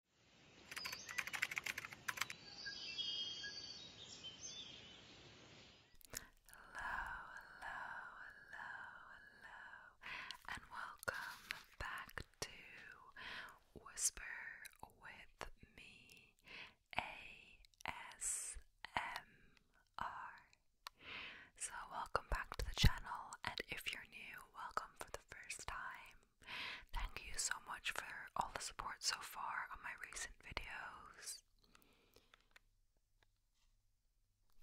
hello, hello, and welcome back to Whisper with me ASMR. So, welcome back to the channel, and if you're new, welcome for the first time. Thank you so much for all the support so far on my recent videos.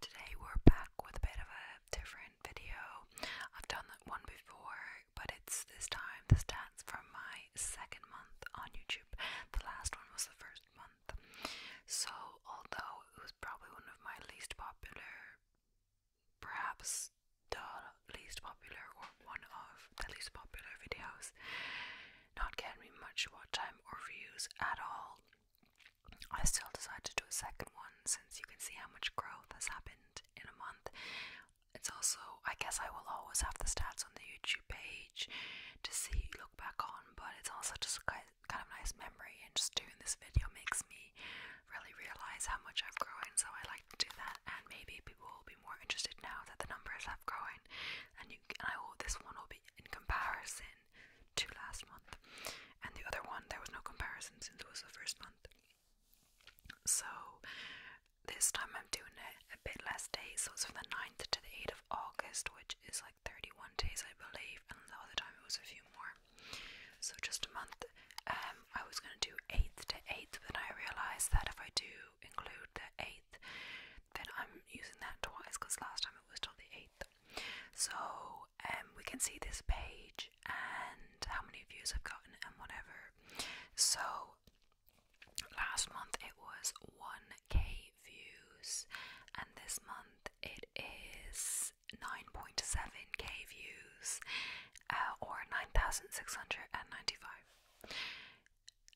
Today we're back with a bit of a different video. I've done that one before, but it's this time the stats from my second month on YouTube. The last one was the first month. So although it was probably one of my least popular perhaps the least popular or one of the least popular videos, not getting me much watch time or views at all. I still decided to do a second one since you can see how much growth has happened in a month. It's also, I guess, I will always have the stats on the YouTube page to see, look back on, but it's also just kind of nice memory, and just doing this video makes me really realize how much I've grown, so I like to do that. And maybe people will be more interested now that the numbers have grown, and you, and I will, this one will be in comparison to last month, and the other one there was no comparison since it was the first month. So this time I'm doing it a bit less days, so it's from the 9th to the 8th of August, which is like 31 days, I believe, and the other time it was a few more. So just a month um, I was going to do 8th to 8th, but then I realised that if I do include the 8th, then I'm using that twice because last time it was till the 8th. So um, we can see this page and how many views I've gotten and whatever. So last month it was 1k views, and this month it is 9.7k views. Uh, or 9,695.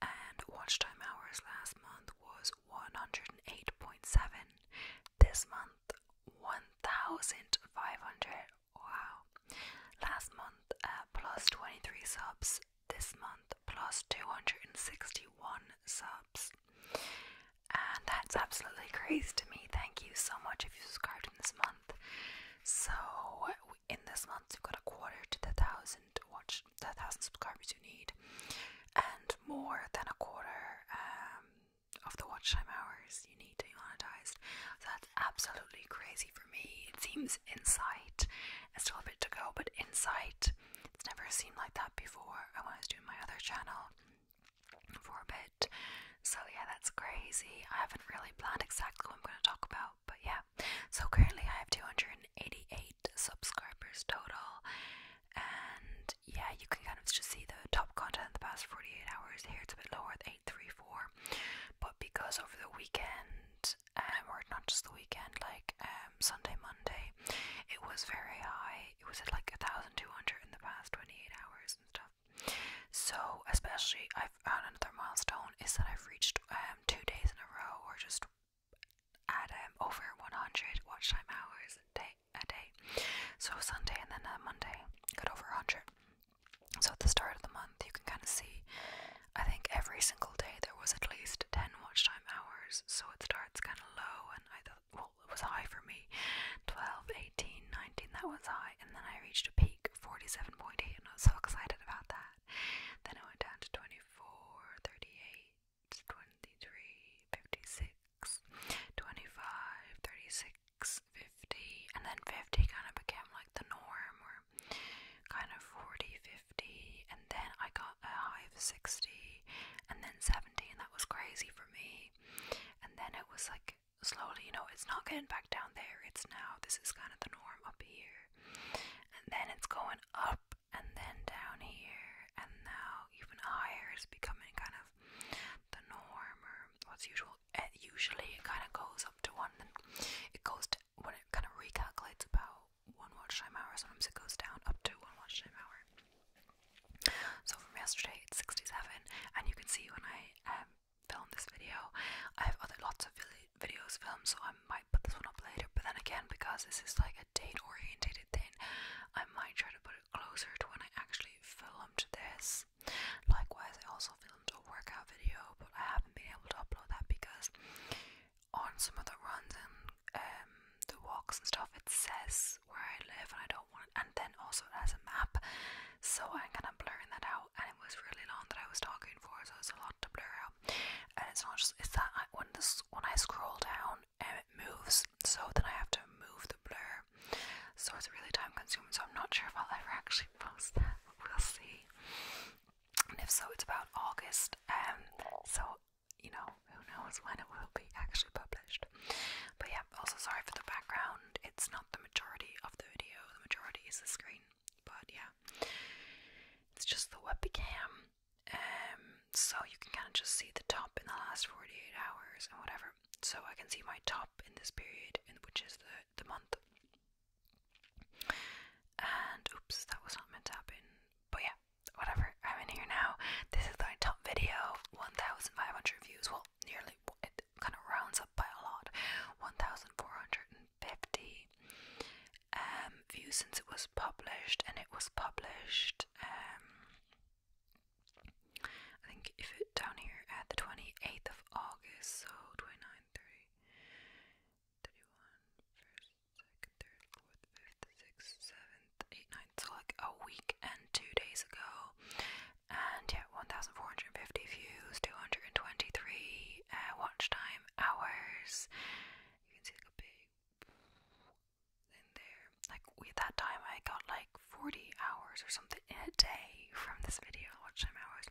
And watch time hours last month was 108.7. This month, 1,500. Wow. Last month, uh, 23 subs. This month, plus 261 subs. And that's absolutely crazy to me. Thank you so much if you subscribed in this month. So in this month, you've got a quarter to the thousand watch, the thousand subscribers you need, and more than a quarter um, of the watch time hours you need to be monetized. that's absolutely crazy for me. It seems insight. It's still a bit to go, but insight. It's never seemed like that before. When I was doing my other channel for a bit, so yeah, that's crazy. I haven't really planned exactly what I'm going to talk about, but yeah. So currently I have 288 subscribers total, and yeah, you can kind of just see the top content in the past 48 hours. Here it's a bit lower at 834, but because over the weekend, um, or not just the weekend, like um, Sunday, Monday, it was very high. It was at like 1,200 in the past 28 hours and stuff. So, especially, I've found another milestone is that I've reached um, two days in a row, or just at um, over 100 watch time hours a day, a day. So Sunday and then uh, Monday got over 100. So at the start of the month, you can kind of see. I think every single day there was at least 10 watch time hours. So it starts kind of low, and I thought, well, it was high for me. 12, 18, 19, that was high, and then I reached a peak 47.8 and I was so excited about that. Then it went down to 24, 38, 56, 25, 36, 50, and then 50 kind of became like the norm or kind of 40, 50, and then I got a high of 60 and then 70 that was crazy for me. And then it was like slowly, you know, it's not getting back down there. It's now, this is kind of the norm up here. And then it's going up and then down here. And now even higher is becoming kind of the norm or what's usual. It usually it kind of goes up to one, then it goes to when it kind of recalculates about one watch time hour. Sometimes it goes down up to one watch time hour. So from yesterday it's 67, and you can see when I um, film this video. I have other lots of videos filmed, so I might put this one up later. But then again, because this is like a date oriented thing, I might try to put it closer to when I actually filmed this. Likewise, I also filmed a workout video, but I haven't been able to upload that because on some of the runs and um, the walks and stuff, it says where I live, and I don't want. It. And then also it has a map, so I'm gonna blur that out and it was really long that I was talking for so it's a lot to blur out and it's not just it's that when this when I scroll down and it moves so then I have to move the blur so it's really time consuming so I'm not sure if I'll ever actually post that we'll see and if so it's about August um so you know who knows when it will be actually published but yeah also sorry for the background it's not the majority of the video, the majority is the screen, but yeah, it's just the webcam. Um, so you can kind of just see the top in the last 48 hours and whatever. So I can see my top in this period, in, which is the, the month. And oops, that was not meant to happen. But yeah, whatever. I'm in here now. This is my top video. 1,500 views. Well, nearly it kind of rounds up by a lot, 1,450 um, views since it was published, and it was published. Um, I think if it down here at the 28th of August, so 29, 30, 31, 1st, 2nd, 3rd, 4th, 5th, 6th, 7th, 8th, 9th, so like a week and two days ago and yeah, 1,450 views, 223 uh, watch time hours. You can see like a big in there. Like with that time, I got like 40 hours or something in a day from this video, watch time hours,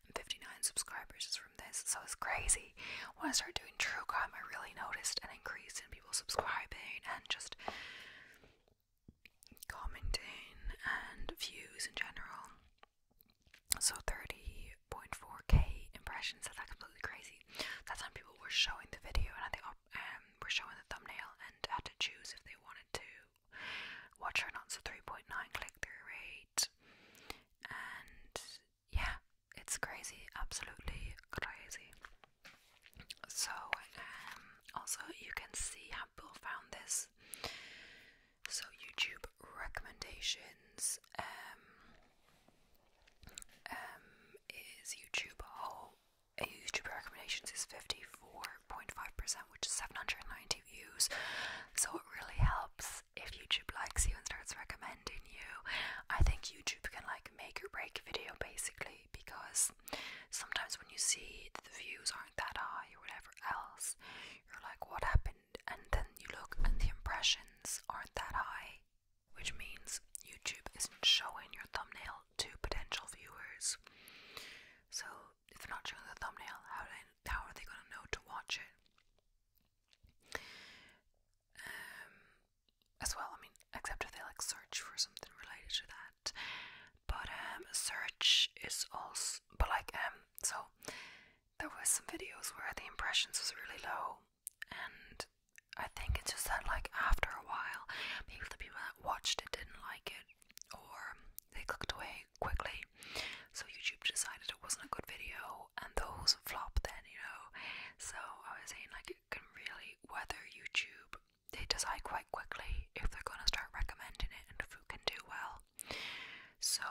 and 59 subscribers just from this. So it's crazy. When I started doing true crime, I really noticed an increase in people subscribing and just commenting and views in general. So 30.4k impressions. That's like completely crazy. That time people were showing the video and I think um, were showing the thumbnail and had to choose if they wanted to watch or not. So 3.9 click through rate. And yeah, it's crazy. Absolutely crazy. So um, also you can see how people found this so YouTube recommendations um, um, is YouTube whole YouTube recommendations is 54.5%, which is 790 views. So it really helps if YouTube likes you and starts recommending you. I think YouTube can like make or break a video basically because Sometimes when you see the views aren't that high or whatever else, you're like, what happened? And then you look and the impressions aren't that high, which means YouTube isn't showing your thumbnail to potential viewers. So if they're not showing the thumbnail, how, how are they going to know to watch it? Um, as well, I mean, except if they like search for something related to that. But um, search is also, but like um, so there were some videos where the impressions was really low, and I think it's just that like after a while, maybe the people that watched it didn't like it, or they clicked away quickly. So YouTube decided it wasn't a good video, and those flop then, you know. So I was saying like it can really weather YouTube they decide quite quickly if they're going to start recommending it and if who can do well. So,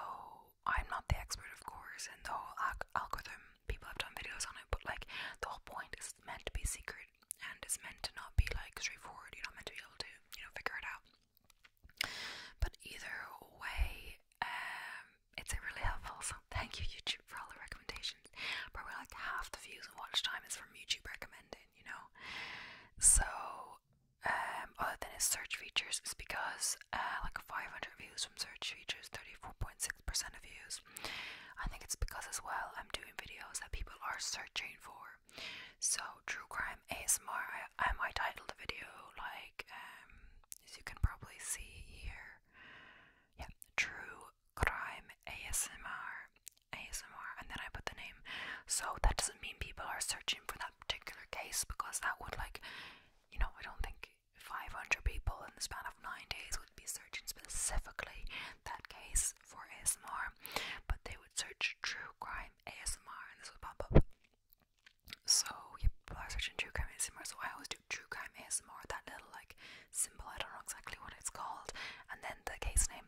I'm not the expert, of course, in the whole algorithm, people have done videos on it, but like the whole point is meant to be secret and it's meant to not be like straightforward. You're not meant to be able to, you know, figure it out. But either way, um, it's a really helpful. So, thank you, YouTube, for all the recommendations. Probably like half the views and watch time is from YouTube recommending, you know? So, um, other than its search features is because uh, like 500 views from search features, 34.6% of views. I think it's because as well I'm doing videos that people are searching for. So true crime ASMR, I, I might title the video like um, as you can probably see here. Yeah, true crime ASMR. ASMR and then I put the name. So that doesn't mean people are searching for that particular case because that would, like, you know, I don't think 500 people in the span of nine days would be searching specifically that case for ASMR, but they would search true crime ASMR and this would pop up. So, yeah, people are true crime ASMR, so I always do true crime ASMR, that little like symbol, I don't know exactly what it's called, and then the case name,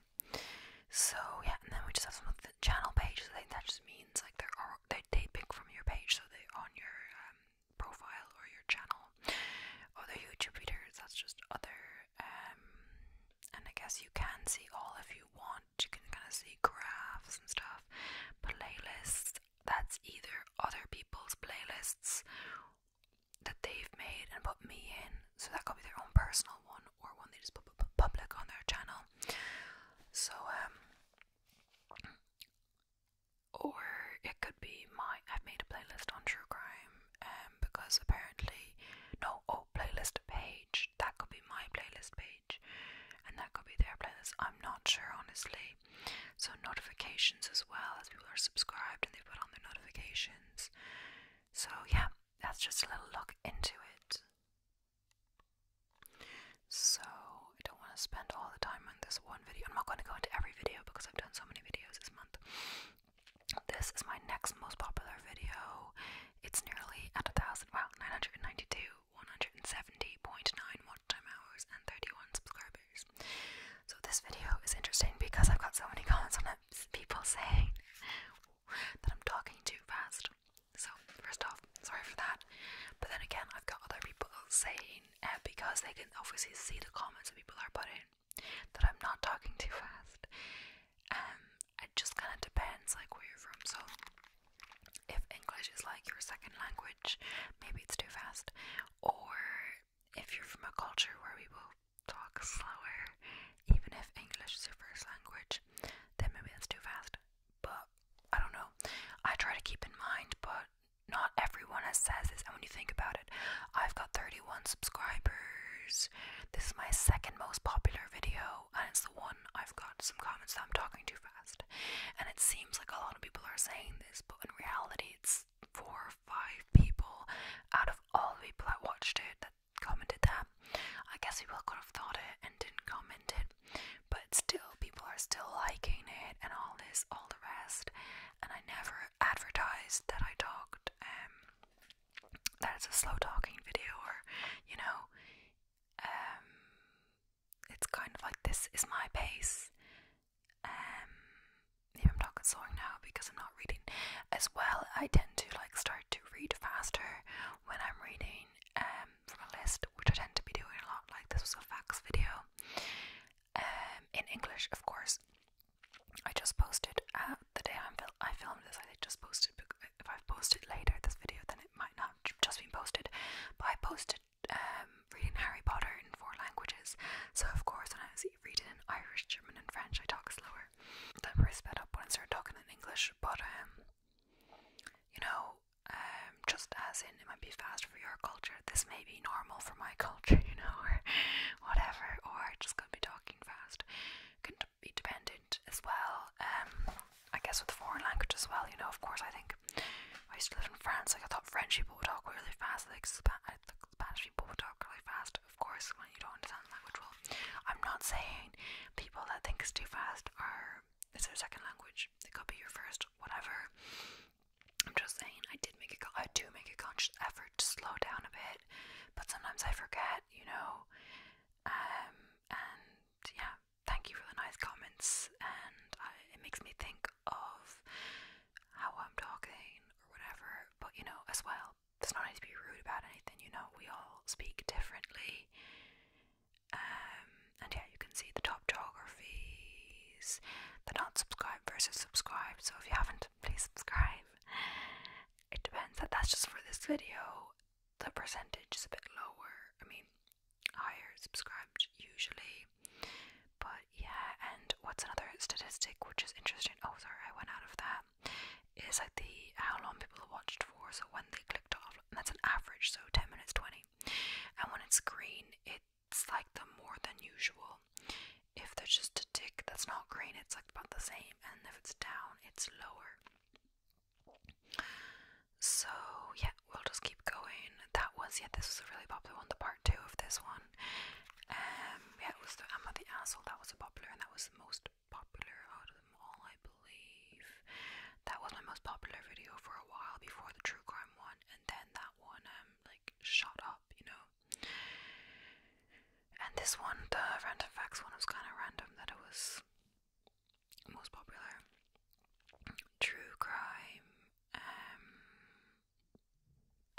so yeah, and then we just have some of the channel pages. I think that just means like they're all, they they pick from your page, so they on your um, profile or your channel. Other YouTube readers, that's just other. Um, and I guess you can see all if you want. You can kind of see graphs and stuff. Playlists. That's either other people's playlists that they've made and put me in, so that could be their own personal one or one they just put public on their channel. So, um, or it could be my. I've made a playlist on true crime, and um, because apparently, no, oh, playlist page. That could be my playlist page, and that could be their playlist. I'm not sure, honestly. So notifications as well, as people are subscribed and they put on their notifications. So, yeah, that's just a little look into it. So, I don't want to spend all the time on this one video. I'm not going to go into every video because I've done so many videos this month. This is my next most popular video. It's nearly at a thousand, wow, 992, 170.9 watch time hours, and 31 subscribers. So, this video is interesting because I've got so many comments on it people saying that I'm talking too fast. So, first off, sorry for that. But then again, I've got other people saying, eh, because they can obviously see the comments that people are putting, that I'm not talking too fast. And um, it just kind of depends, like, where you're from. So, if English is like your second language, maybe it's too fast. Or if you're from a culture where we people talk slower, even if English is your first language, then maybe that's too fast. But I don't know. I try to keep in mind, but not everyone has says this. And when you think about it, I've got 31 subscribers. This is my second most popular video, and it's the one I've got some comments that I'm talking too fast. And it seems like a lot of people are saying this, but in reality, it's four or five people out of all the people that watched it that commented that. I guess people could have thought it and didn't comment it, but still, people are still liking it and all this, all the rest. And I never advertised that I talked, um, that it's a slow talking video, or you know, um, it's kind of like this is my pace. Um, yeah, I'm talking slowing now because I'm not reading as well. I tend to like start to read faster when I'm reading um, from a list, which I tend to be doing a lot. Like this was a facts video um, in English, of course. I just posted uh, the day i filmed this. I just posted. If I've posted later this video, then it might not have just been posted. But I posted um, reading Harry Potter in four languages. So of course, when I was reading in Irish, German, and French, I talk slower. The price sped up when I Sir talking in English, but um, you know, um, just as in it might be fast for your culture, this may be normal for my culture, you know, or whatever, or just gonna be talking fast. Can be dependent as well. Um, I guess with foreign language as well, you know. Of course, I think I used to live in France. Like I thought French people would talk really fast. Like Spanish people would talk really fast of course, when you don't understand the language well. I'm not saying people that think it's too fast are it's their second language. It could be your first, whatever. I'm just saying I did make a I do make a conscious effort to slow down a bit, but sometimes I forget, you know. Um, and yeah, thank you for the nice comments and it makes me think of how I'm talking or whatever, but you know, as well um, there's no need to be rude about anything, you know, we all speak differently. Um, and yeah, you can see the top geographies, the not subscribed versus subscribed. So if you haven't, please subscribe. It depends, that that's just for this video. The percentage is a bit lower, I mean, higher subscribed usually. But yeah, and what's another statistic which is interesting? Oh, sorry, I went out of that um, is like the how long people have watched for, so when they clicked off, that's an average, so 10 minutes 20. And when it's green, it's like the more than usual. If there's just a tick that's not green, it's like about the same, and if it's down, it's lower. So, yeah, we'll just keep going. That was, yeah, this was a really popular one, the part two of this one. Um, yeah, it was the the asshole that was popular, and that was the most popular out of them all, I believe. That was my most popular video for a while before the true crime one, and then that one um like shot up, you know. And this one, the random facts one, was kind of random that it was most popular. True crime, um,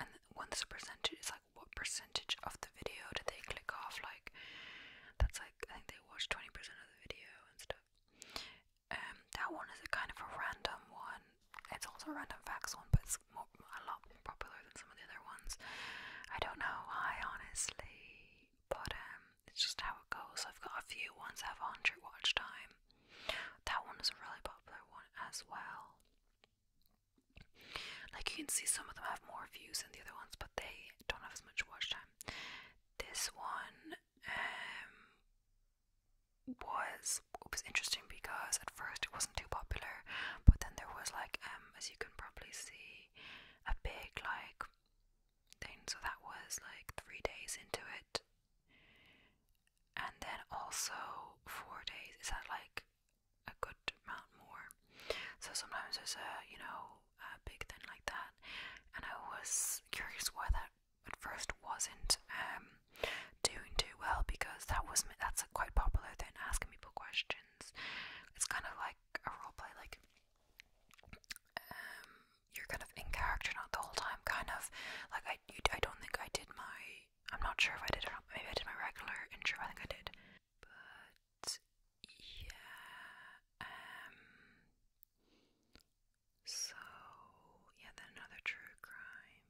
and once a percentage is like what percentage of the video did they click off? Like that's like I think they watched twenty percent of the video and stuff. Um, that one is a kind of a random one. It's also a random facts one, but it's more, a lot more popular than some of the other ones. I don't know I honestly, but um, it's just how it goes. I've got a few ones that have 100 watch time. That one is a really popular one as well. Like you can see, some of them have more views than the other ones, but they don't have as much watch time. This one um, was was interesting because at first it wasn't too popular, but then there was like um, as you can probably see, a big like thing. So that was like three days into it, and then also four days. Is that like a good amount more. So sometimes there's a you know a big thing like that, and I was curious why that at first wasn't um, doing too well because that was that's a quite popular thing asking people questions. It's kind of like a role play, like um, you're kind of in character not the whole time. Kind of like I I don't think I did my I'm not sure if I did or not. Maybe I did my regular intro. I think I did. But yeah, um so yeah, then another true crime.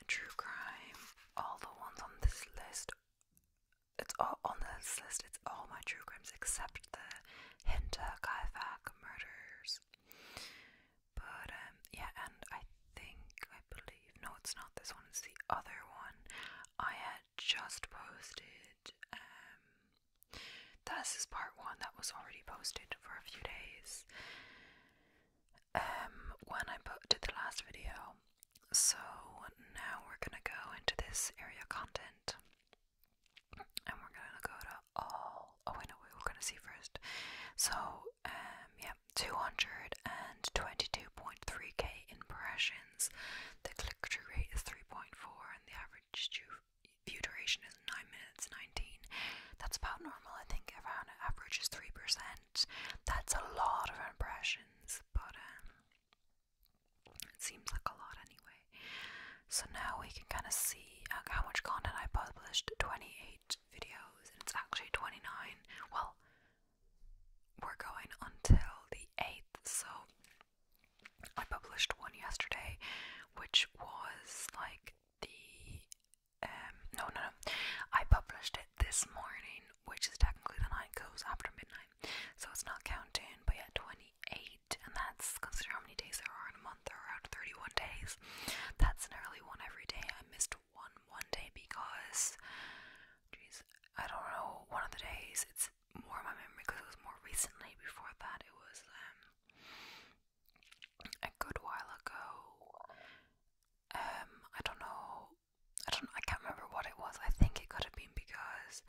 A true crime. All the ones on this list it's all on this list, it's all my true crimes except the Hinter Kaifak murders. But um yeah, and I think no, it's not this one, it's the other one. I had just posted. Um, this is part one that was already posted for a few days. Um, when I put, did the last video. So now we're gonna go into this area content, and we're gonna go to all. Oh, I know we were gonna see first. So um, yeah, 222.3k impressions. The click through rate is 3.4, and the average view duration is 9 minutes 19. That's about normal, I think. Around an average is 3%. That's a lot of impressions, but um, it seems like a lot anyway. So now we can kind of see uh, how much content I published 28 videos, and it's actually 29. Well, we're going until the 8th, so I published one yesterday, which was like the um, no no no I published it this morning, which is technically the night goes after midnight, so it's not counting, but yeah, 28, and that's consider how many days there are in a month, there are 31 days. That's an early one every day. I missed one one day because, jeez, I don't know. One of the days, it's more in my memory because it was more recently. Before that, it was um, a good while ago. Um, I don't know. I don't. I can't remember what it was. I think it could have been because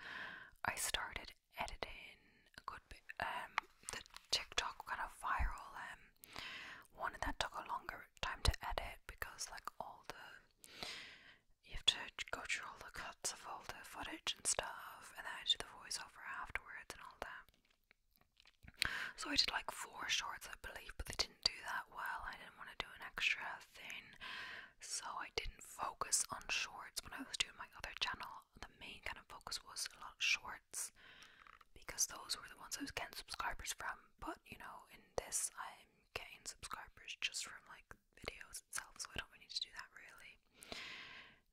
I started editing a good bit. Um, the TikTok kind of viral and um, one that took a longer time to edit because like all the you have to go through all the cuts of all the footage and stuff, and then I the voiceover afterwards and all that. So I did like four shorts, I believe, but they didn't do that well. I didn't want to do an extra thing, so I didn't focus on shorts when I was doing my other channel. The main kind of focus was a lot of shorts because those were the ones I was getting subscribers from. But you know, in this, I'm getting subscribers just from like videos itself, so don't need to do that really.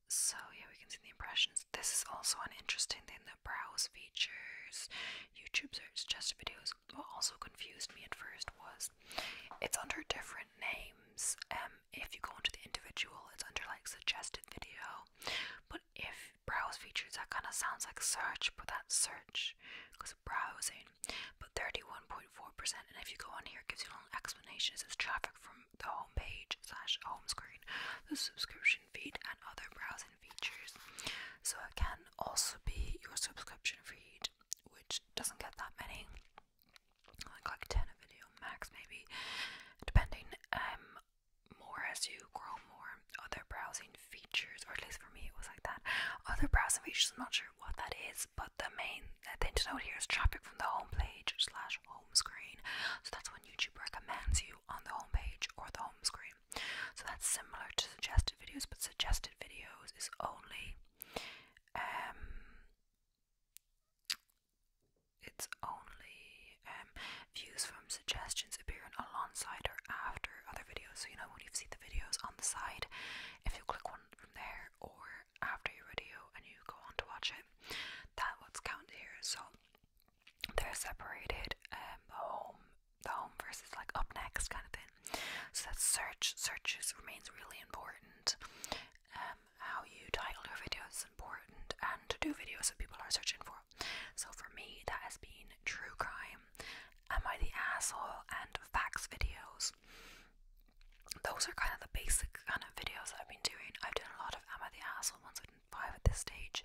So yeah, we can see the impressions. This is also an interesting thing that browse features YouTube search suggested videos. What also confused me at first was it's under different names. Um, if you go into the individual, it's under like suggested video. But if browse features, that kind of sounds like search, but that search browsing, but 31.4%. And if you go on here, it gives you a long explanation. It traffic from the home page slash home screen, the subscription feed, and other browsing features. So it can also be your subscription feed, which doesn't get that many, like like 10 a video max, maybe, depending. Um, more as you grow more other browsing features, or at least for me it was like that. Other browsing features, I'm not sure what that is, but the main thing to note here is traffic from the home page slash home screen. So that's when YouTube recommends you on the home page or the home screen. So that's similar to suggested videos, but suggested videos is only um, it's only um, views from suggestions appearing alongside or after other videos. So you know when you've seen the videos on the side if you click one from there or after your video and you go on to watch it. That what's counted here. So they're separated um the home the home versus like up next kind of thing. So that search searches remains really important. Um, how you title your video is important and to do videos that people are searching for. So for me that has been true crime Am I the Asshole, and Facts videos. Those are kind of the basic kind of videos I've been doing. I've done a lot of Am I the Asshole ones in five at this stage,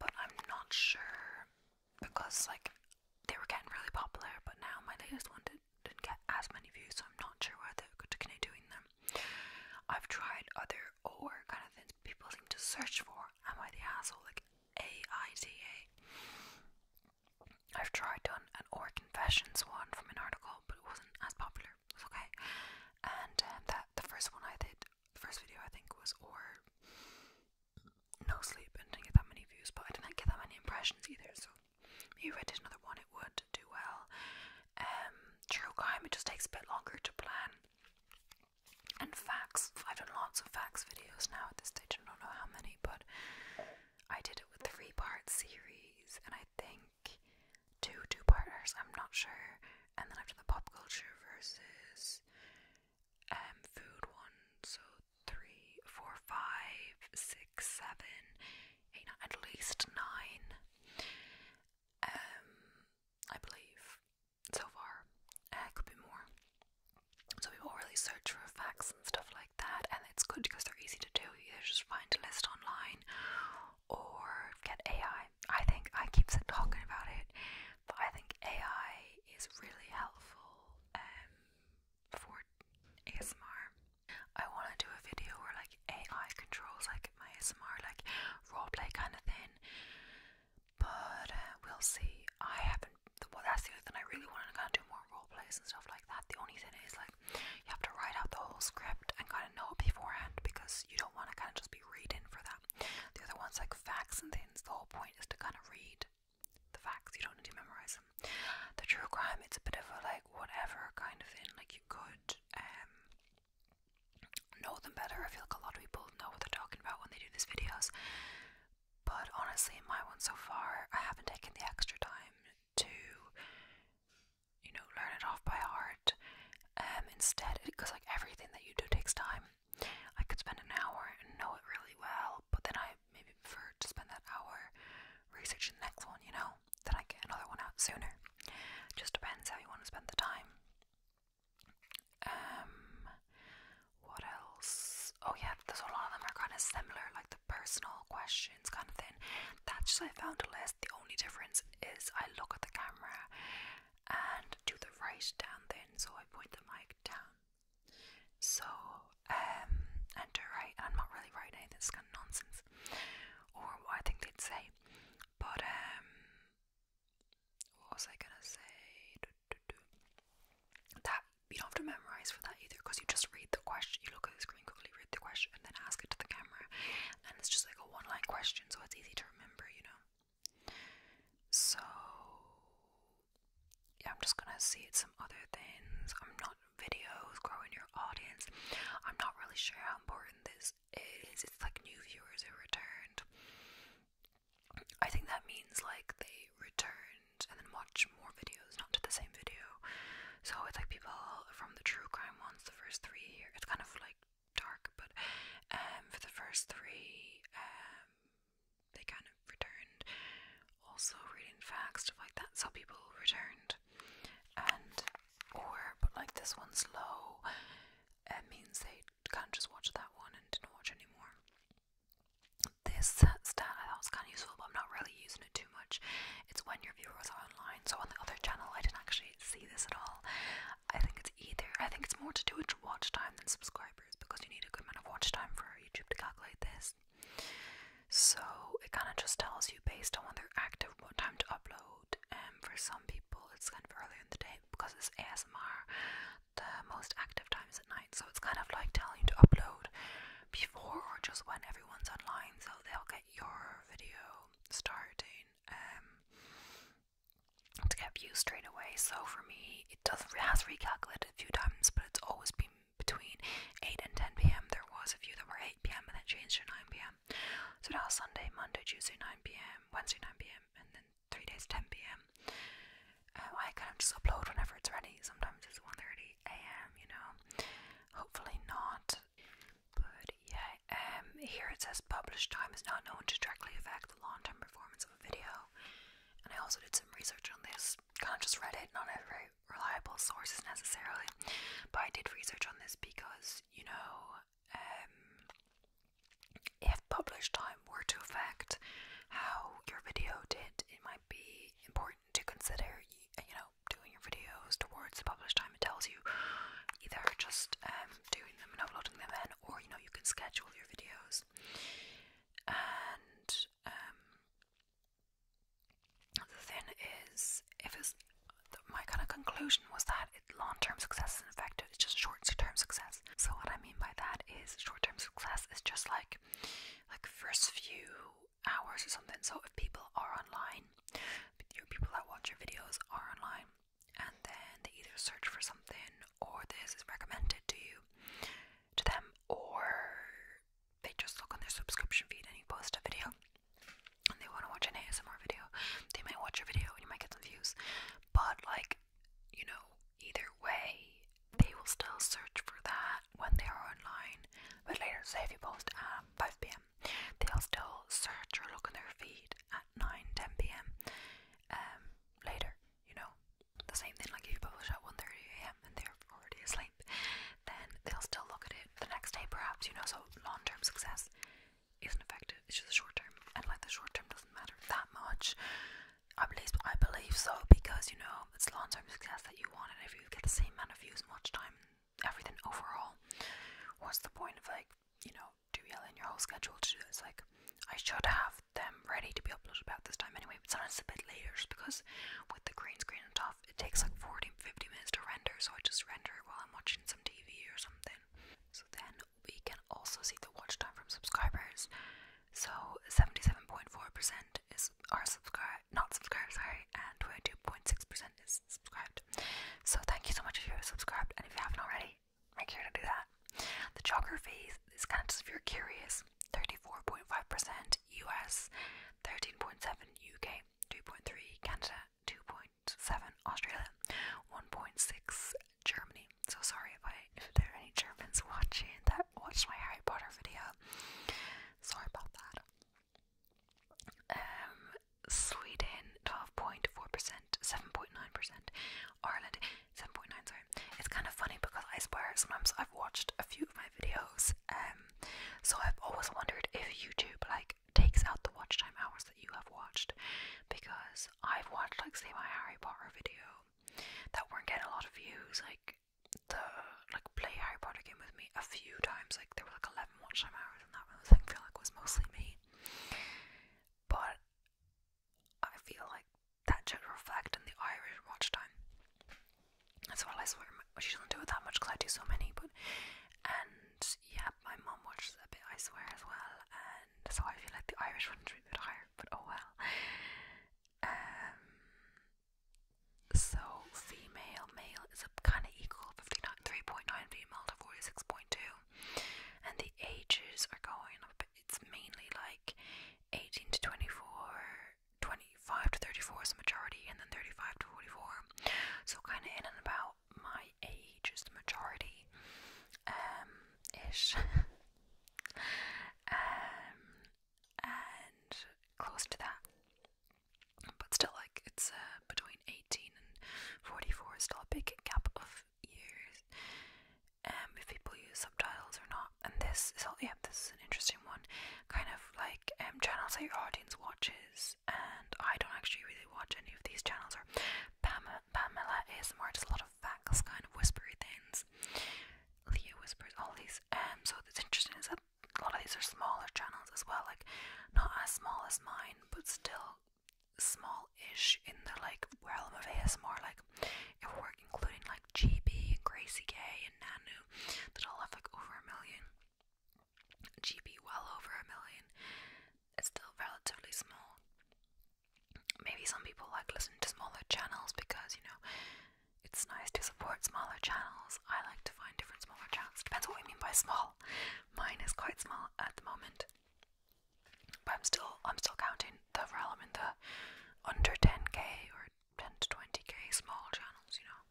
but I'm not sure because like they were getting really popular, but now my latest one did, not get as many views, so I'm not sure whether to continue doing them. I've tried other or kind of things people seem to search for. Am I the asshole? Like AITA. I've tried done an or confessions one from an article, but it wasn't as popular. It okay. And um, that the first one I did, the first video I think was or no sleep and didn't get that many views, but I didn't get that many impressions either. So maybe if I did another one, it would do well. Um, true crime it just takes a bit longer to plan. And facts, I've done lots of facts videos now at this time. I don't know how many, but I did it with three part series, and I think two two parters. I'm not sure. And then I've done the pop culture versus um, food one. So three, four, five, six, seven, eight, at least nine. Um, I believe so far. Uh, could more. So we will really search for facts and stuff like that, and it's good because they're easy to do. You just find a list online or get AI. I think I keep talking about it, but I think AI is really helpful um, for ASMR. I want to do a video where like AI controls like my ASMR, like roleplay kind of thing. But uh, we'll see. I haven't. Well, that's the other thing I really want to kind of do more role plays and stuff like that. The only thing is like you have to write out the whole script and kind of know it beforehand because you don't want to kind of just be reading for that. The other ones like facts and things. The whole point is to kind of read the facts. You don't need to memorize them. The true crime, it's a bit of a like whatever kind of thing. Like you could um know them better. I feel like a lot of people know what they're talking about when they do these videos. But honestly, in my one so far, I haven't taken the extra time to, you know, learn it off by heart. And um, instead, because like everything that you do takes time. I could spend an hour and know it really well, but then I maybe prefer to spend that hour researching the next one, you know? Then I get another one out sooner. Just depends how you want to spend the time. Um, what else? Oh yeah, there's a lot of them are kind of similar, like the personal questions kind of thing. That's just I found a list. The only difference is I look at the camera and do the right down thing, so I point the mic down. So um, and to write, I'm not really writing anything. It's kind of nonsense, or what I think they'd say. But um, what was I gonna say? That you don't have to memorize for that either because you just read the question, you look at the screen quickly, read the question, and then ask it to the camera. And it's just like a one line question, so it's easy to remember, you know. So, yeah, I'm just gonna see some other things. I'm not videos, growing your audience. I'm not really sure how important this is. It's like new viewers are returned. I think that means like they returned and then watch more videos, not to the same video. So it's like people from the true crime ones, the first three here, it's kind of like dark, but um, for the first three, um, they kind of returned. Also, reading facts, stuff like that. So people returned, and or but like this one's low, it means they can't just watch that one and didn't watch anymore this stat I thought was kind of useful, but I'm not really using it too much. It's when your viewers are online. So on the other channel, I didn't actually see this at all. I think it's either, I think it's more to do with watch time than subscribers because you need a good amount of watch time for YouTube to calculate this. So it kind of just tells you based on when they're active what time to upload. And for some people, it's kind of earlier in the day because it's ASMR the most active times at night. So it's kind of like telling you to upload before or just when everyone's online, so they'll get your video starting um, to get views straight away. So for me, it does it has recalculated a few times, but it's always been between 8 and 10 p.m. There was a few that were 8 p.m. and then changed to 9 p.m. So now Sunday, Monday, Tuesday, 9 p.m., Wednesday, 9 p.m., and then three days 10 p.m. Uh, I kind of just upload whenever it's ready. Sometimes it's 1:30 a.m. You know, hopefully not. But yeah, um, here it says published time is not known to directly affect the long-term performance of a video. And I also did some research on this. Kind of just read it, not a very reliable sources necessarily, but I did research on this because you know, um, if published time were to affect how your video did, it might be important to consider, you know, doing your videos towards the publish time it tells you. Either just um, doing them and uploading them in, or you know, you can schedule your videos. And um, the thing is, if it's my kind of conclusion was that long-term success isn't effective; it's just short-term success. So what I mean by that is, short-term success is just like like first few hours or something. So if people are online, your people that watch your videos are online, and then they either search for something or this is recommended to you to them, or they just look on their subscription feed and you post a video and they want to watch an ASMR video. They might watch your video and you might get some views, but like you know, either way, they will still search for that when they are online. But later, say if you post at um, 5 pm, they'll still search or look in their feed at 9 10 pm. Um, later, you know, the same thing like if you publish at 1:30 am and they're already asleep, then they'll still look at it the next day, perhaps, you know. So, long term success isn't effective, it's just short term, and like the short term doesn't matter that much. I believe I believe so because you know it's long term success that you want, and if you get the same amount of views and watch time, everything overall, what's the point of like you know doing derailing your whole schedule to do this? Like I should have them ready to be uploaded by this time anyway, but sometimes it's a bit later because with the green screen and stuff, it takes like 40, 50 minutes to render, so I just render while I'm watching some TV or something. So then we can also see the watch time from subscribers. So 77.4% is are subscribed, not subscribed, sorry, and 22.6% is subscribed. So thank you so much if you're subscribed, and if you haven't already, make sure to do that. The geography is, is kind of just if you're curious 34.5% US, 13.7 UK, 2.3 Canada, 2.7 Australia, 1.6 Germany. So sorry if I if there are any Germans watching that watched my Harry Potter video. Sorry about that. Um Sweden twelve point four percent, seven point nine percent, Ireland seven point nine, sorry. It's kind of funny because I swear sometimes I've watched a few of my videos, um so I've always wondered if YouTube like takes out the watch time hours that you have watched because I've watched like say my Harry Potter video that weren't getting a lot of views, like the like play Harry Potter game with me a few times, like there were like eleven watch time hours and that one. I feel like was mostly me. But I feel like that should reflect in the Irish watch time. That's why I swear she doesn't do it that much because I do so many, but and yeah, my mom watches a bit, I swear as well, and so I feel like the Irish one's a bit higher, but oh well. Um, so female, male is a kind of equal 3.9 female to 46.2, and the ages are going up. It's mainly like 18 to 24, 25 to 34 is the majority, and then 35 to 44. So, kind of in and about my age is the majority. Um, ish. Um, and close to that. But still, like it's uh, between eighteen and forty-four is still a big gap of years. Um, if people use subtitles or not, and this is all, Yep, this is an interesting one. Kind of like um, channels that your audience watches, and I don't actually really watch any of these channels. Or Pamela, is ASMR a lot of facts, kind of whispery things. Leo Whispers, all these. Um, so what's interesting is that a lot of these are smaller channels as well, like not as small as mine, but still small-ish in the like realm of ASMR. Like if we're including like GB and Gracie K and Nanu, that all have like over a million. GB well over a million. It's still relatively small maybe some people like listen to smaller channels because you know it's nice to support smaller channels. I like to find different smaller channels. Depends what we mean by small. Mine is quite small at the moment. But I'm still I'm still counting the realm in the under 10k or 10 to 20k small channels, you know,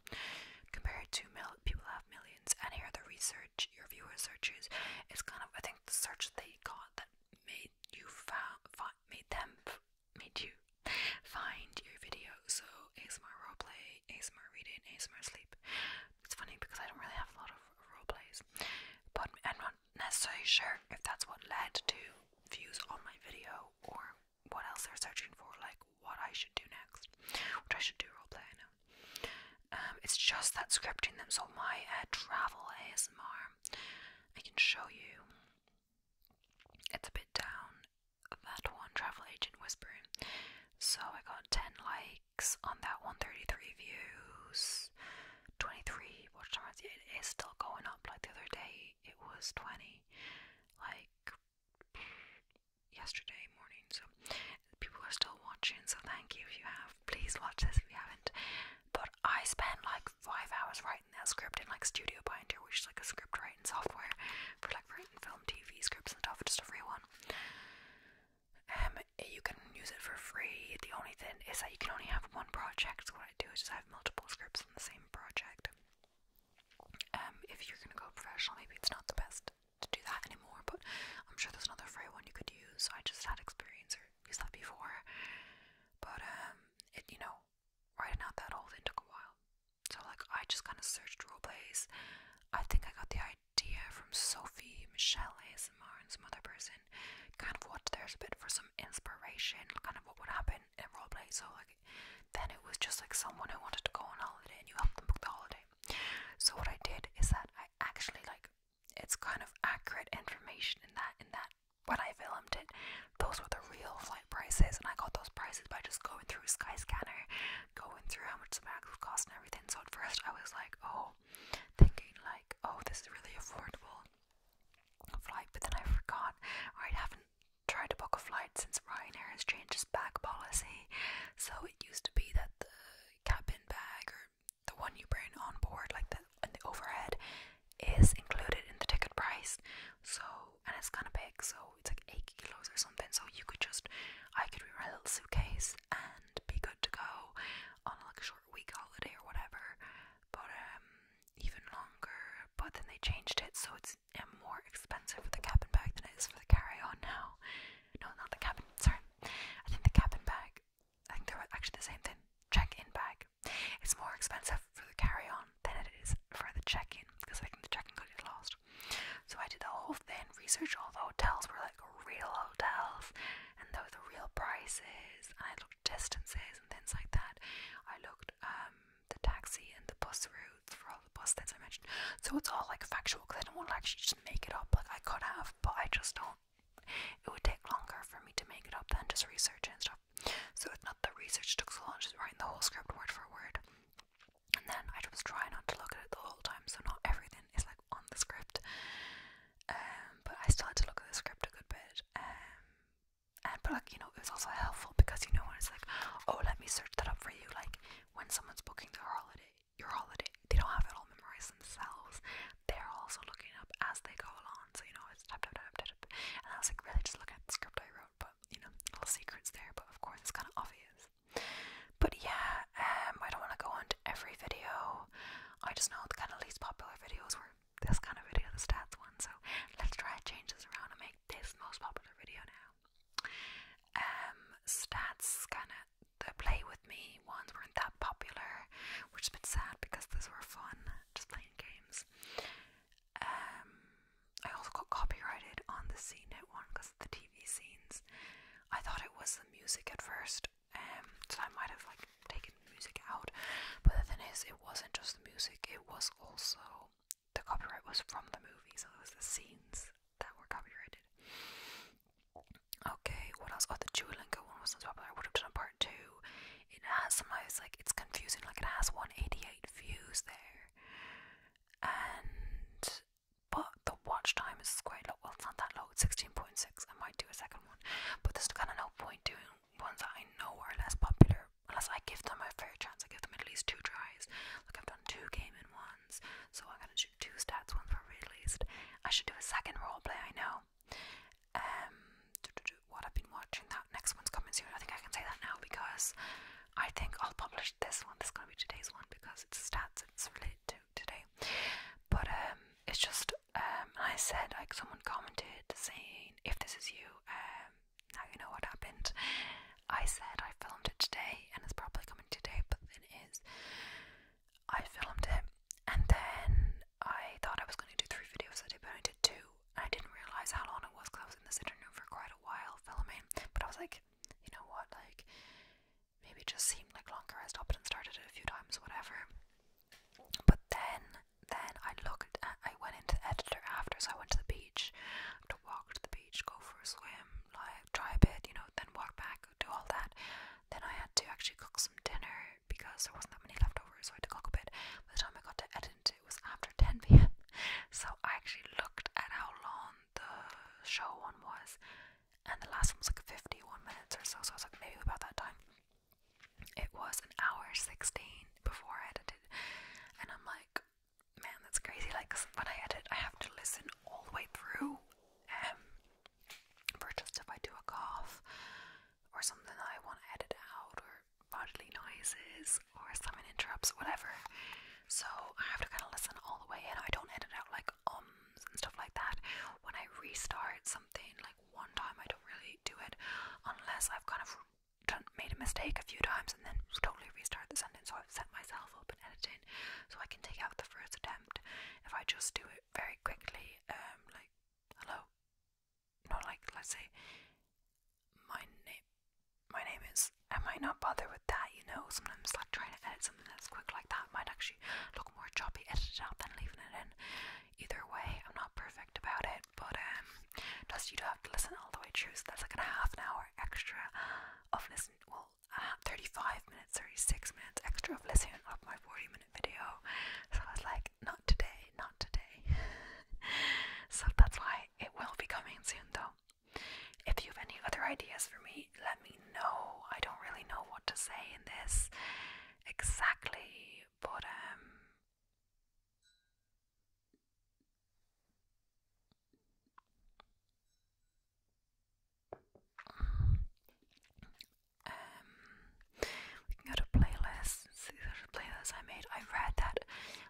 compared to mil- people have millions. And here the research, your viewer searches, is kind of I think the search they got that made you found made them made you find your video. So ASMR roleplay, ASMR reading, ASMR sleep. It's funny because I don't really have a lot of roleplays, but I'm not necessarily sure if that's what led to views on my video or what else they're searching for, like what I should do next, which I should do roleplay. I know. Um, it's just that scripting them. So my uh, travel ASMR. I can show you. It's a bit down that one travel agent whispering. So I got 10 likes on that 133 views, 23 watch times. It is still going up. Like the other day, it was 20. Like yesterday morning. So people are still watching. So thank you if you have. Please watch this if you haven't. But I spent like five hours writing that script in like Studio Binder, which is like a script writing software for like writing film, TV scripts and stuff, just a free one. Um, you can use it for free. The only thing is that you can only have one project. So what I do is just have multiple scripts on the same project. Um, if you're gonna go professional, maybe it's not the best to do that anymore. But I'm sure there's another free one you could use. So I just had experience or used that before, but um, it you know, writing out that whole thing took a while. So like, I just kind of searched role plays. I think I got the idea from Sophie, Michelle ASMR, and some other person. Kind of watched theirs a bit for some inspiration, kind of what would happen in role play. So like, then it was just like someone who wanted to go on holiday, and you helped them book the holiday. So what I did is that I actually like it's kind of accurate information in that in that when I filmed it, those were the real flight prices, and I got those prices by just going through Skyscanner, going through how much the bag would cost and everything. So at first I was like, oh, thinking like, oh, this is really affordable flight, but then I forgot, I haven't tried to book a flight since Ryanair has changed its bag policy. So it used to be that the cabin bag or the one you bring on board, like that and the overhead is included in the ticket price. So and it's kind of big, so it's like eight kilos or something. So you could just, I could bring my little suitcase and be good to go on like a short week holiday or whatever. But um, even longer. But then they changed it, so it's um, more expensive for the cabin bag than it is for the carry-on now. No, not the cabin. Sorry, I think the cabin bag. I think they're actually the same thing. Check-in bag it's more expensive for the carry on than it is for the check in because I can the check in could get lost. So I did the whole thing, research all the hotels were like real hotels and those the real prices and I looked distances and things like that. I looked um the taxi and the bus routes for all the bus things I mentioned. So it's all like factual because I don't want to actually just make it up. Like I could have, but I just don't it would take longer for me to make it up than just research and stuff. So it's not the research took so long, just writing the whole script word for word. And then I just try not to look at it the whole time, so not everything is like on the script. Um, but I still had to look at the script a good bit. Um, and but like you know, it was also helpful because you know when it's like, oh, let me search that up for you. Like when someone's booking their holiday, your holiday, they don't have it all memorized themselves they're also looking up as they go along. So you know it's tap tap tap tap tap, and I was like really just looking at the script I wrote, but you know little secrets there. But of course it's kind of obvious. But yeah, um, I don't want to go into every video. I just know the kind of least popular videos were this kind of video, the stats one. So let's try and change this around and make this most popular video now. Um, stats kind of the play with me ones weren't that popular, which is a bit sad because those were fun just playing games. Um, I also got copyrighted on the CNET one because the TV scenes. I thought it was the music at first, um, so I might have like taken music out. But the thing is, it wasn't just the music; it was also the copyright was from the movie, so it was the scenes that were copyrighted. Okay, what else? Oh, the Duolingo one was not popular. I would have done a part two it has somehow it's like it's confusing. Like it has 188 views there, and but the watch time is quite low. Well, it's not that low. It's 16.6. I might do a second one, but there's kind of no point doing ones that I know are less popular unless I give them a fair chance. I give them at least two tries. Like I've done two gaming ones, so I'm gonna do two stats for were released. I should do a second role play. I know um, what I've been watching, that next one's coming soon. I think I can say that now because I think I'll publish this one. This is going to be today's one because it's stats, it's related to today. But um, it's just, um, I said, like, someone commented saying, if this is you, um, now you know what happened. I said I filmed it today and it's probably coming today, but it is. I filmed it and then I thought I was going to do three videos I did, but I did two. I didn't realize how long it was because I was in the sitting room for quite a while filming. But I was like, you know what, like maybe it just seemed like longer. I stopped and started it a few times, whatever. But then, then I looked. At, I went into the editor after, so I went to the beach. I to walk to the beach, go for a swim, like try a bit, you know, then walk back, do all that. Then I had to actually cook some dinner because there wasn't that many left over, so I had to cook a bit. By the time I got to editing, it was after 10 pm. So I actually looked at how long the show one was, and the last one was like 51 minutes or so, so it was like, maybe about that time. It was an hour 16 before I edited, and I'm like, man, that's crazy. Like, when I edit, I have to listen all the way through. Um, for just if I do a cough, or something that I want to edit out, or bodily noises, or someone interrupts, whatever. So I have to kind of listen all the way in. I don't edit out like ums and stuff like that. When I restart something, like one time, I don't really do it unless I've kind of done, made a mistake a few times and then totally restart the sentence. So I've set myself up and editing so I can take out the first attempt. If I just do it very quickly, um, like hello, no, like let's say my name, my name is. I might not bother with that, you know. Sometimes like trying to edit something that's quick like that might actually look more choppy edited out than leaving it in. Either way, I'm not perfect about it, but um, just you do have to listen all the way through. So that's like a half an hour extra of listening. Well, 35 minutes, 36 minutes extra of listening of my 40 minutes video. So I was like, not today, not today. so that's why it will be coming soon though. If you have any other ideas for me, let me know. I don't really know what to say in this exactly, but um, um, we can go to playlists. See the playlist I made. I read that,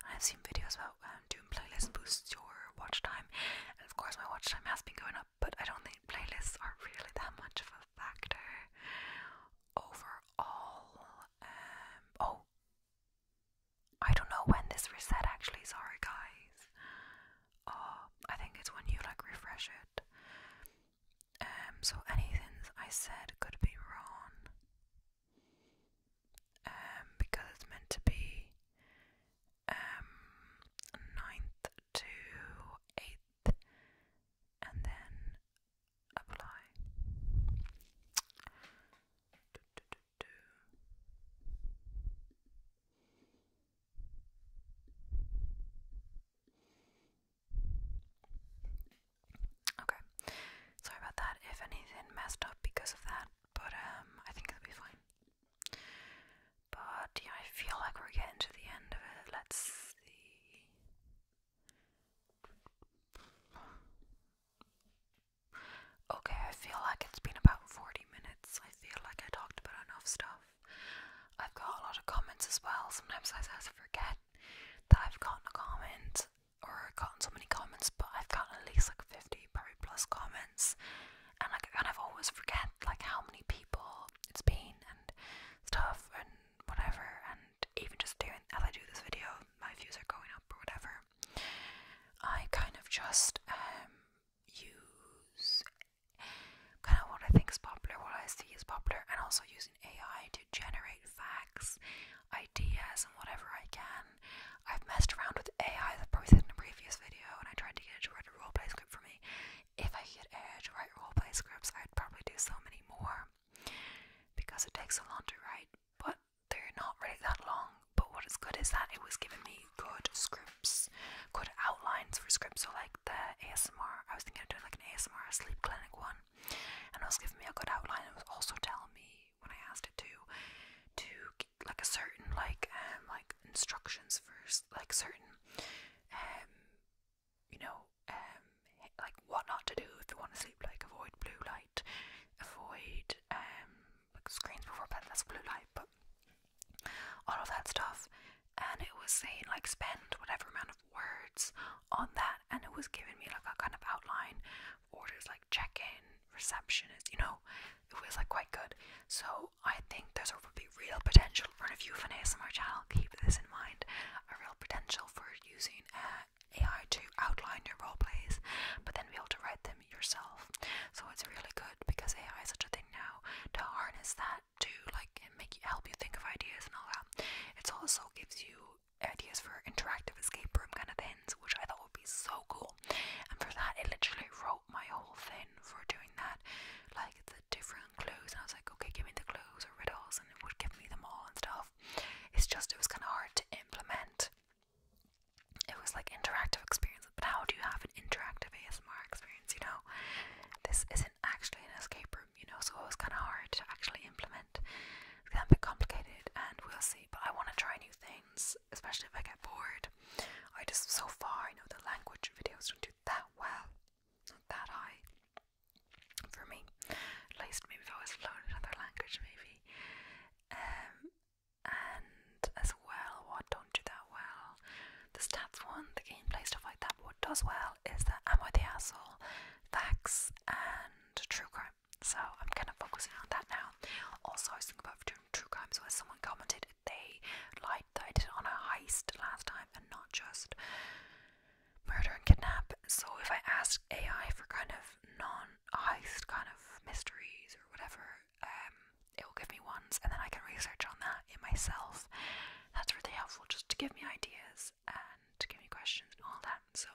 I've seen videos about um, doing playlists boost your watch time. And of course, my watch time has been going up, but I don't think playlists are really that much of a factor over all. Um, oh, I don't know when this reset actually. Sorry, guys. Oh, I think it's when you like refresh it. Um, so anything I said could be wrong. Um, because it's meant to be um, ninth to eighth and then apply. Okay. Sorry about that if anything messed up because of that, but um I think it'll be fine. But yeah, I feel like we're getting to the end of it. Let's see. Okay, I feel like it's been about 40 minutes. I feel like I talked about enough stuff. I've got a lot of comments as well. Sometimes I, I forget that I've gotten a comment or gotten so many comments, but I've gotten at least like 50, pro plus comments, and like I kind of always forget like how many people it's been and stuff and whatever, and even just doing as I do this video, my views are going up or whatever. I kind of just um, use kind of what I think is popular, what I see is popular, and also using AI to generate facts, ideas, and whatever I can. I've messed around with AI, that I probably said in a previous video, and I tried to get it to write a roleplay script for me. If I could get AI to write roleplay scripts, I'd probably do so many more because it takes a long to write, but they're not really that long. But what is good is that it was giving me good scripts, good outlines for scripts. So, like the ASMR, I was thinking of doing like an ASMR sleep clinic one and it was giving me a good outline. It was also telling me when I asked it to, to like a certain like um, like instructions for like certain um you know um like what not to do if you want to sleep. Like avoid blue light, avoid um like screens before bed. That's blue light, but all of that stuff and it was saying like spend whatever amount of words on that and it was giving me like a kind of outline orders like check-in receptionist you know it was like quite good so i think there's a real potential for if you have an asmr channel keep this in mind a real potential for using uh, ai to outline your role plays but then be able to write them yourself so it's really good because ai is such a thing now to harness that to like make help you think of ideas and all that. It also gives you ideas for interactive escape room kind of things, which I thought would be so cool. And for that, it literally wrote my whole thing for doing that, like the different clues. And I was like, okay, give me the clues or riddles, and it would give me them all and stuff. It's just it was kind of hard to implement. It was like interactive experience, but how do you have an interactive ASMR experience? You know, this isn't actually an escape room room, you know, so it kind of hard to actually implement. It's kind of a bit complicated, and we'll see. But I want to try new things, especially if I get bored. I just, so far, I know the language videos don't do that well, not that high for me. At least, maybe if I was learning another language, maybe. Um, and as well, what don't do that well? The stats one, the gameplay stuff like that. What does well is that i the asshole, facts, and true crime. So I'm kind of focusing on that now. Also, I think about doing true crimes where someone commented they lied that I did on a heist last time and not just murder and kidnap. So if I ask AI for kind of non heist kind of mysteries or whatever, um, it will give me ones and then I can research on that in myself. That's really helpful just to give me ideas and give me questions and all that. So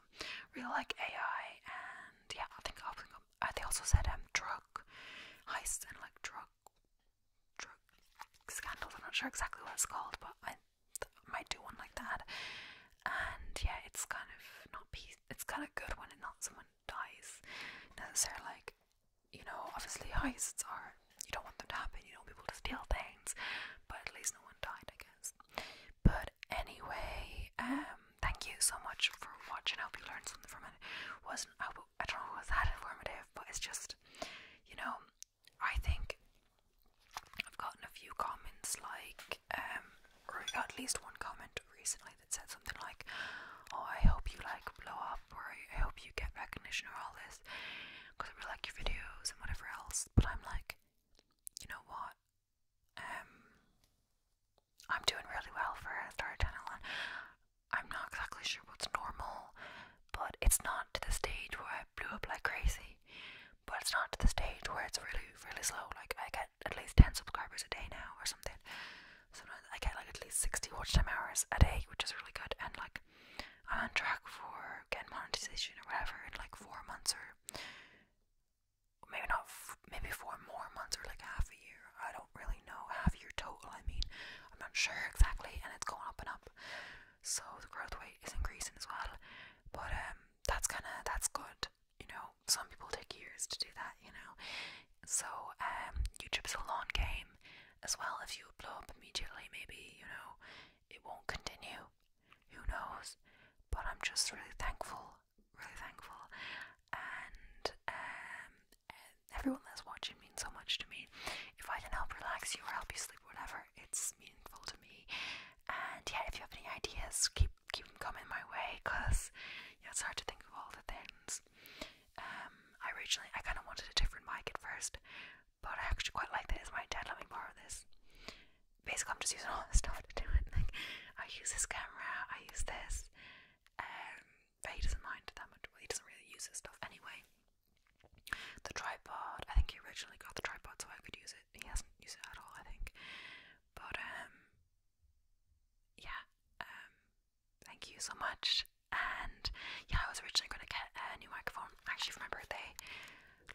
really like AI and yeah, I think I will they also said um, drug heists and like drug drug scandals. I'm not sure exactly what it's called, but I might do one like that. And yeah, it's kind of not peace. It's kind of good when not someone dies necessarily. Like you know, obviously heists are you don't want them to happen, you don't want people to steal things, but at least no one died, I guess. But anyway, um, thank you so much for watching. I hope you learned something from it. Wasn't I, don't know was that informative, but it's just you know, I think I've gotten a few comments like um, or at least one comment recently that said something like, Oh, I hope you like blow up, or I hope you get recognition, or all this because I really like your videos, whatever else, but I'm like, you know what? Um, I'm doing really well for a channel, I'm not exactly sure what's normal, but it's not to the stage where I blew up like crazy. But it's not to the stage where it's really, really slow. Like I get at least ten subscribers a day now, or something. Sometimes I get like at least sixty watch time hours a day, which is really good. And like I'm on track for getting monetization or whatever in like four months or maybe not, maybe four more months or like half a year. I don't really know. Half a year total, I mean. I'm not sure exactly, and it's going up and up. So the growth rate is increasing as well. But um, that's kind of that's good. You know, some people take years to do that. You know, so um, YouTube's a long game as well. If you blow up immediately, maybe you know it won't continue. Who knows? But I'm just really thankful, really thankful. And um, everyone that's watching means so much to me. If I can help relax you or help you sleep, whatever, it's meaningful to me. And yeah, if you have any ideas, keep keep them coming my way, cause yeah, it's hard to think of all the things. Um, originally I kind of wanted a different mic at first but I actually quite like this. My dad let me borrow this. Basically, I'm just using all this stuff to do it. I use this camera, I use this. Um, he doesn't mind that much. he doesn't really use this stuff anyway. The tripod. I think he originally got the tripod so I could use it. He hasn't used it at all, I think. But um, yeah. Um, thank you so much, and yeah, I was originally gonna get a new microphone actually for my birthday,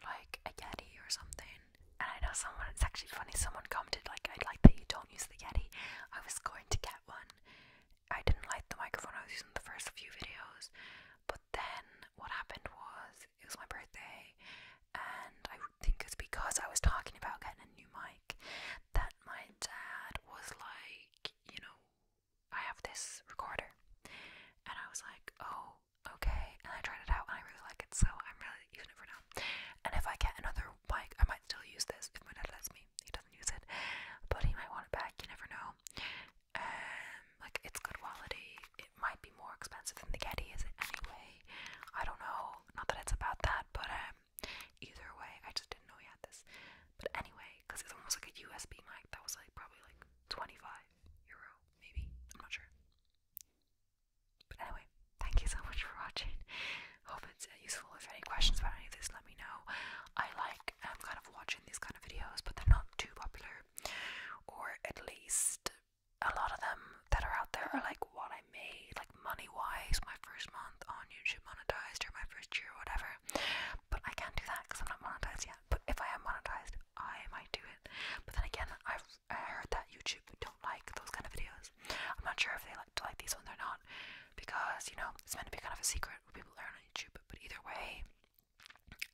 like a Yeti or something. And I know someone, it's actually funny, someone commented, like, I'd like that you don't use the Yeti. I was going to get one. I didn't like the microphone I was using the first few videos, but then what happened was it was my birthday, and I think it was because I was talking about getting a new mic that my dad was like, you know, I have this recorder. And I was like, oh, okay. And I tried it out and I really like it, so I'm really you never know. And if I get another mic, I might still use this if my dad lets me. He doesn't use it, but he might want it back, you never know. Um, like, it's good quality. It might be more expensive than the Getty, is anyway? I don't know. Not that it's about that, but um, either way, I just didn't know he had this. But anyway, because it's almost like a USB mic that was like probably like 25 euro, maybe. I'm not sure. But anyway, thank you so much for watching. Hope it's useful. If any questions about any of this, let me know. I like um, kind of watching these kind of videos, but they're not too popular, or at least a lot of them that are out there are like what I made, like money wise, my first month on YouTube monetized or my first year, or whatever. But I can't do that because I'm not monetized yet. But if I am monetized, I might do it. But then again, I've I heard that YouTube don't like those kind of videos. I'm not sure if they like to like these ones or not, because you know it's meant to be kind of a secret what people learn on YouTube. But either way,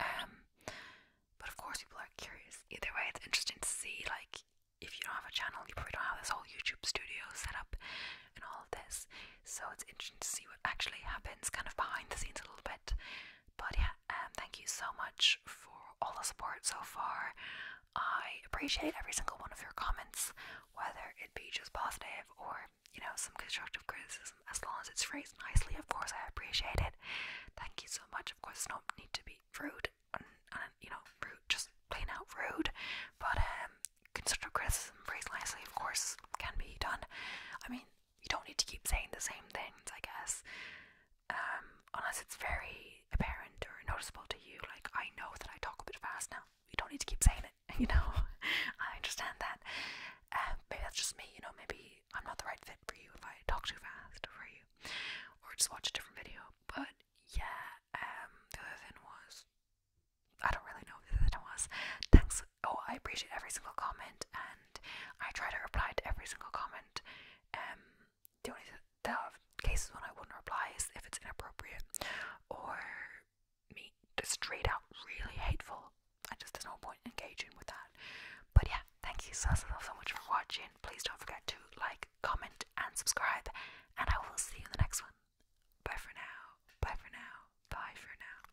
um, but of course people are curious. Either way, it's interesting to see like if you don't have a channel, you probably don't have this whole YouTube studio set up and all of this. So it's interesting to see what actually happens kind of behind the scenes a little bit. But yeah, um, thank you so much for all the support so far. I appreciate every single one of your comments, whether it be just positive or, you know, some constructive criticism, as long as it's phrased nicely, of course, I appreciate it. Thank you so much. Of course, no need to be rude you know, rude, just plain out rude, but um, constructive criticism phrased nicely, of course, can be done. I mean, you don't need to keep saying the same things, I guess. Um, unless it's very apparent or noticeable to you, like I know that I talk a bit fast now. You don't need to keep saying it, you know. I understand that. Um, maybe that's just me, you know, maybe I'm not the right fit for you if I talk too fast for you. Or just watch a different video. But yeah, um the other was I don't really know what the other was. Thanks oh, I appreciate every single comment, and I try to reply to every single comment. Um, the only the cases when I wouldn't reply is if it's inappropriate or me just straight out really hateful. I just there's no point engaging with that. But yeah, thank you so so so much for watching. Please don't forget to like, comment, and subscribe. And I will see you in the next one. Bye for now. Bye for now. Bye for now.